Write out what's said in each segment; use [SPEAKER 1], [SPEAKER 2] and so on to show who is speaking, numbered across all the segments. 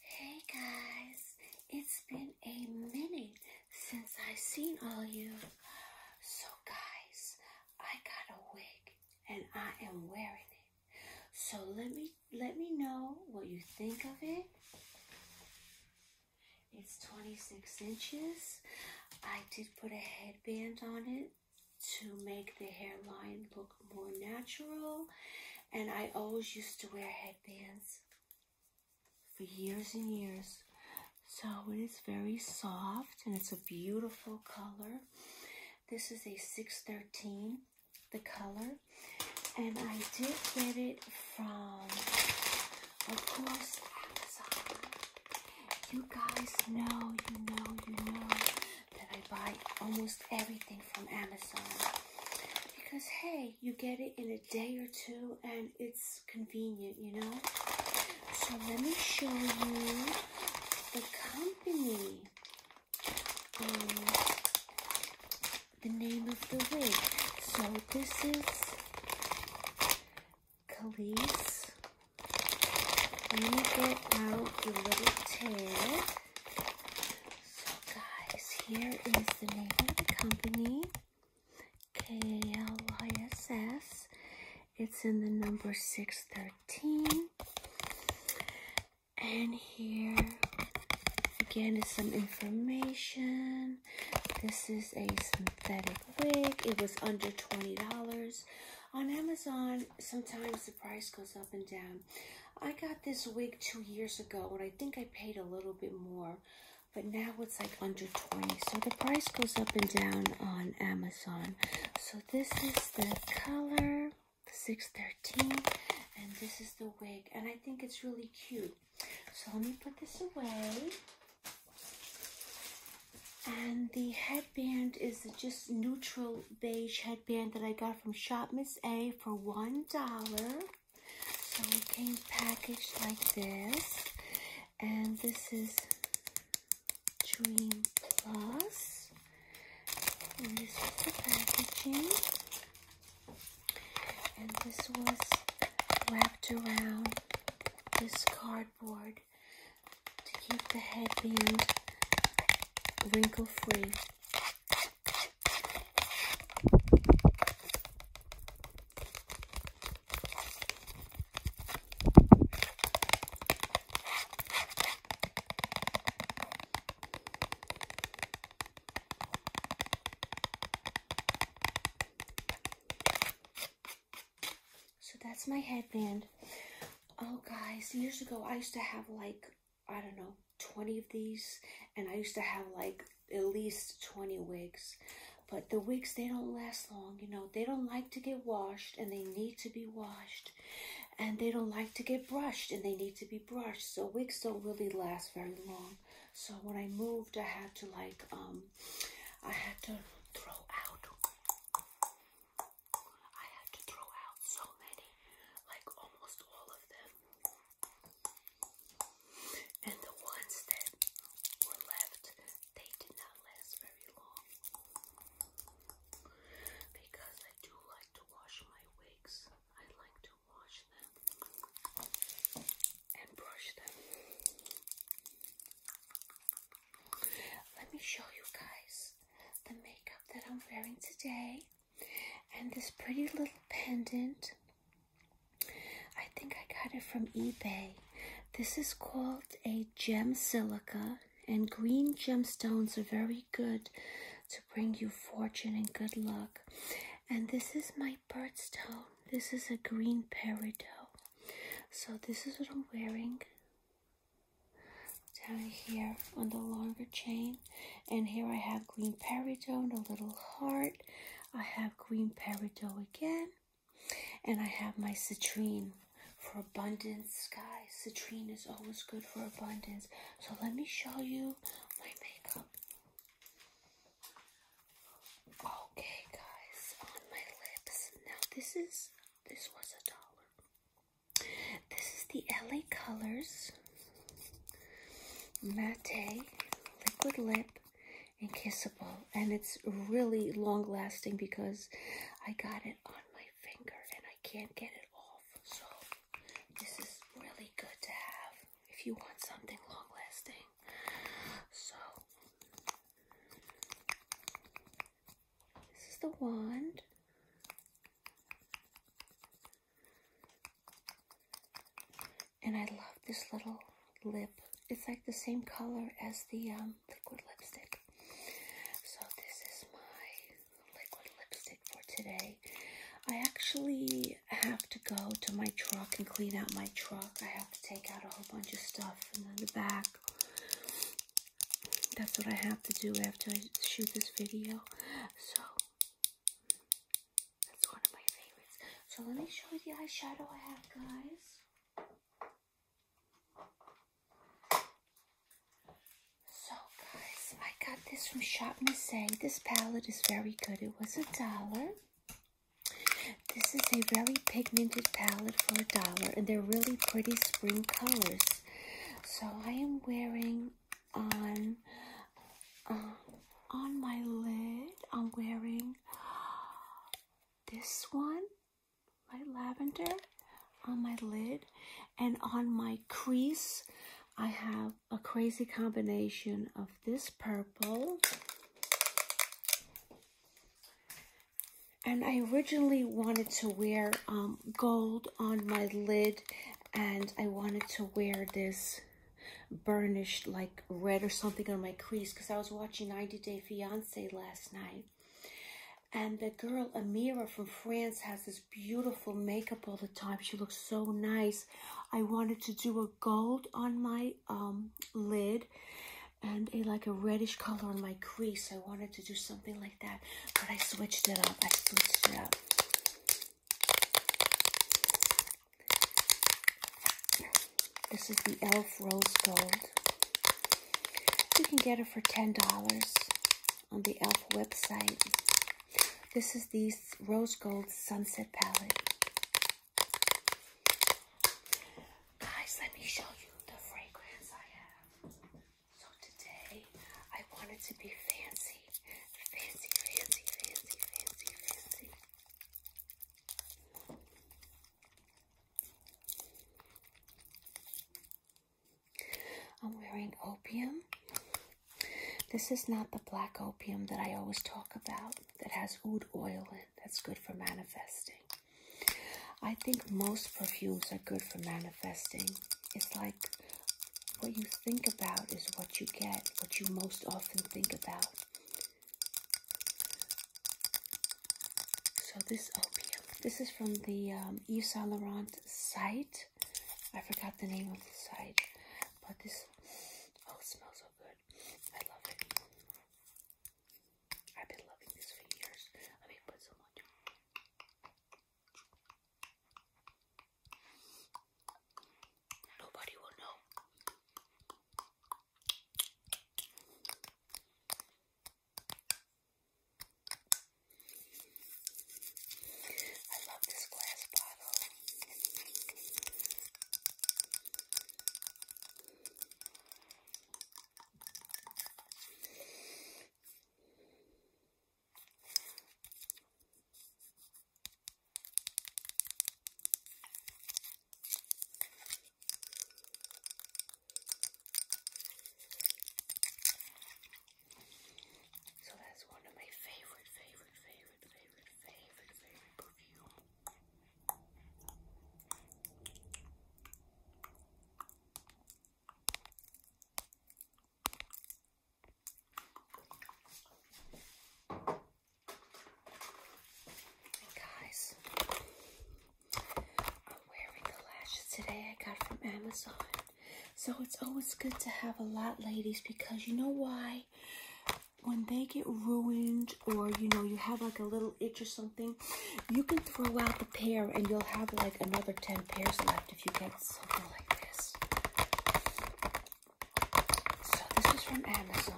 [SPEAKER 1] Hey guys, it's been a minute since I've seen all you. So, guys, I got a wig and I am wearing it. So let me let me know what you think of it. It's 26 inches. I did put a headband on it to make the hairline look more natural. And I always used to wear headbands for years and years. So it is very soft and it's a beautiful color. This is a 613, the color. And I did get it from, of course, Amazon. You guys know, you know, you know that I buy almost everything from Amazon. Because, hey, you get it in a day or two and it's convenient, you know? So let me show you the company. Um, the name of the wig. So this is Khalees. Let me get out the little tag. So guys, here is the name of the company, KLISS. It's in the number 613. And here, again, is some information. This is a synthetic wig. It was under $20 on Amazon sometimes the price goes up and down. I got this wig two years ago, and I think I paid a little bit more, but now it's like under 20. So the price goes up and down on Amazon. So this is the color 613, and this is the wig, and I think it's really cute. So let me put this away. And the head headband is just neutral beige headband that I got from Shop Miss A for $1. So it came packaged like this. And this is Dream Plus. And this is the packaging. And this was wrapped around this cardboard to keep the headband wrinkle free. So that's my headband. Oh, guys, years ago I used to have like, I don't know, 20 of these, and I used to have like at least 20 wigs. But the wigs, they don't last long, you know. They don't like to get washed, and they need to be washed. And they don't like to get brushed, and they need to be brushed. So wigs don't really last very long. So when I moved, I had to like, um, I had to throw out I had to throw out so many, like almost all of them. And the ones that were left, they did not last very long. Because I do like to wash my wigs, I like to wash them and brush them. Let me show you guys the makeup that I'm wearing today and this pretty little pendant. I think I got it from eBay. This is called a gem silica and green gemstones are very good to bring you fortune and good luck. And this is my birdstone. This is a green peridot. So this is what I'm wearing down here on the longer chain and here I have green peridot a little heart I have green peridot again and I have my citrine for abundance guys citrine is always good for abundance so let me show you my makeup okay guys on my lips now this is this was a dollar this is the LA Colors Matte Liquid Lip and Kissable. And it's really long lasting because I got it on my finger and I can't get it off. So this is really good to have if you want something long lasting. So this is the wand. And I love this little lip. It's like the same color as the um, liquid lipstick. So this is my liquid lipstick for today. I actually have to go to my truck and clean out my truck. I have to take out a whole bunch of stuff and the back that's what I have to do after I shoot this video. So, that's one of my favorites. So, let me show you the eyeshadow I have, guys. So, guys, I got this from Shop Miss This palette is very good. It was a dollar. This is a very pigmented palette for a dollar, and they're really pretty spring colors. So I am wearing on uh, on my lid. I'm wearing this one, my lavender, on my lid, and on my crease. I have a crazy combination of this purple and I originally wanted to wear um, gold on my lid and I wanted to wear this burnished like red or something on my crease because I was watching 90 Day Fiance last night and the girl Amira from France has this beautiful makeup all the time she looks so nice I wanted to do a gold on my um, lid and a like a reddish color on my crease. I wanted to do something like that, but I switched it up. I switched it up. This is the e.l.f. Rose Gold. You can get it for $10 on the e.l.f. website. This is the Rose Gold Sunset Palette. Guys, let me show you the fragrance I have. So today, I wanted to be fancy. Fancy, fancy, fancy, fancy, fancy. I'm wearing opium. This is not the black opium that I always talk about that has oud oil in it. That's good for manifesting. I think most perfumes are good for manifesting. It's like what you think about is what you get, what you most often think about. So this opium, oh, this is from the um, Yves Saint Laurent site. I forgot the name of the site, but this, oh, it smells so good. I love it. I've been loving this for years. I mean, put so much. Nobody will know. I love this glass bottle. So that's one of my favorite, favorite, favorite, favorite, favorite, favorite perfume. Guys, I'm wearing the lashes today I got from Amazon. So it's always good to have a lot, ladies, because you know why? when they get ruined or you know you have like a little itch or something you can throw out the pair and you'll have like another 10 pairs left if you get something like this so this is from amazon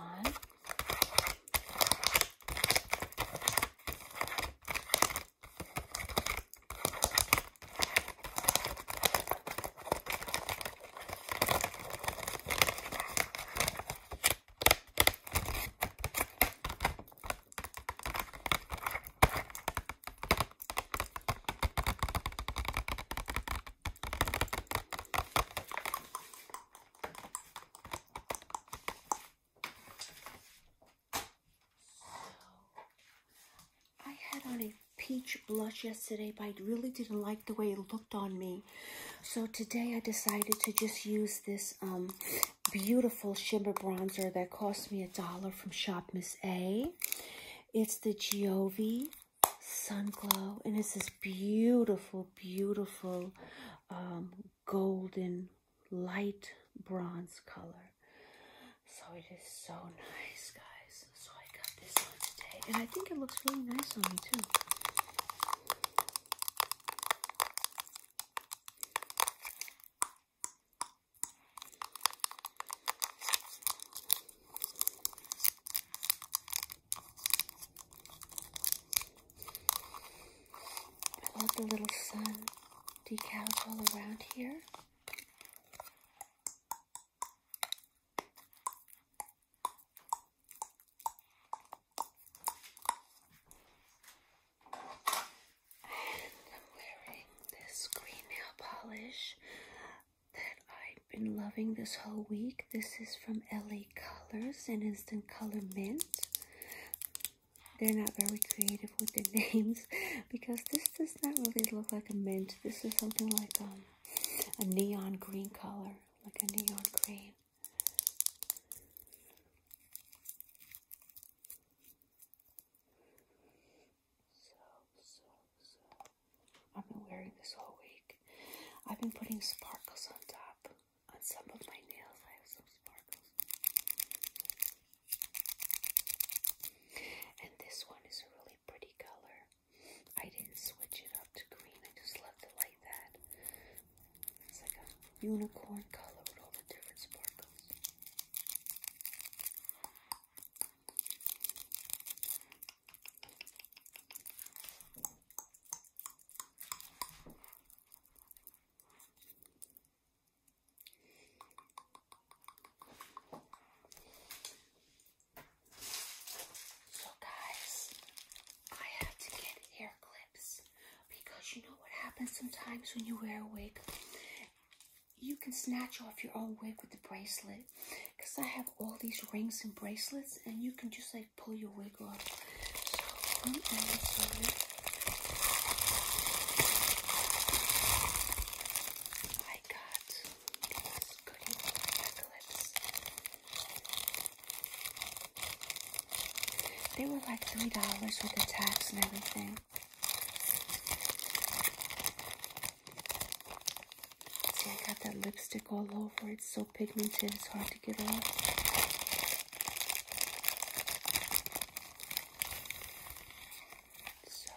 [SPEAKER 1] I had on a peach blush yesterday, but I really didn't like the way it looked on me. So today I decided to just use this um, beautiful shimmer bronzer that cost me a dollar from Shop Miss A. It's the Giove Sun Glow, and it's this beautiful, beautiful um, golden light bronze color. So it is so nice, guys. So I got this one today, and I think it looks really nice on me too. I love the little sun decals all around here. I'm wearing this green nail polish that I've been loving this whole week. This is from LA Colors and Instant Color Mint. They're not very creative with their names because this does not really look like a mint. This is something like um, a neon green color like a neon green. So, so, so. I've been wearing this all week. I've been putting sparkles on top. On some of my nails, I have some sparkles. And this one is a really pretty color. I didn't switch it up to green. I just left it like that. It's like a unicorn color with all the different sparkles. So guys, I had to get hair clips because you know what happens sometimes when you wear a wig? You can snatch off your own wig with the bracelet. Because I have all these rings and bracelets and you can just like pull your wig off. So I got they were like three dollars with the tax and everything. See, I got that lipstick all over. It's so pigmented, it's hard to get off. So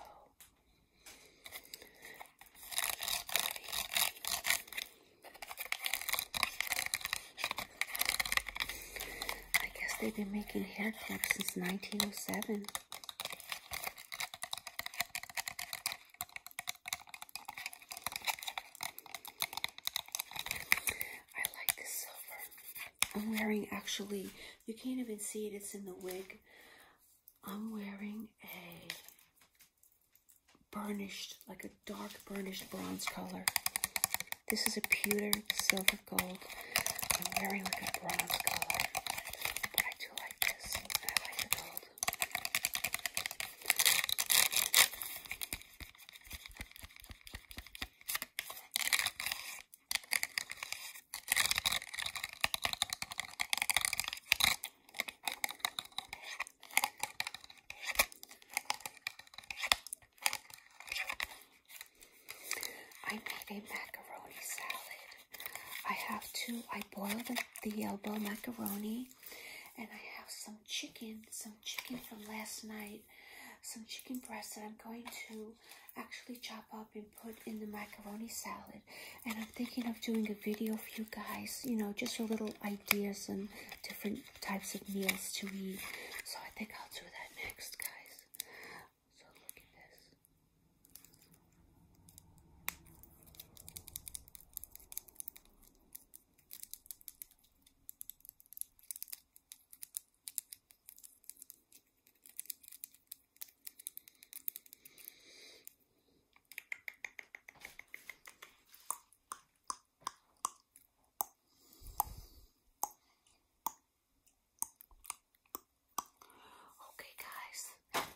[SPEAKER 1] I guess they've been making hair clips since 1907. I like this silver. I'm wearing actually, you can't even see it, it's in the wig. I'm wearing a burnished, like a dark burnished bronze color. This is a pewter, silver, gold. I'm wearing like a bronze color. I do like this. I like the gold. I made a macaroni salad. I have to, I boiled the, the elbow macaroni and I have some chicken, some chicken from last night, some chicken breast that I'm going to actually chop up and put in the macaroni salad. And I'm thinking of doing a video for you guys, you know, just a little ideas and different types of meals to eat. So I think I'll do that next, guys. So look at this. Okay, guys,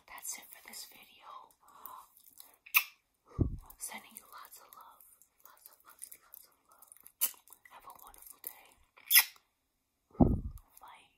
[SPEAKER 1] that's it for this video. Sending you lots of love. Lots of, lots of, lots of love. Have a wonderful day. Bye.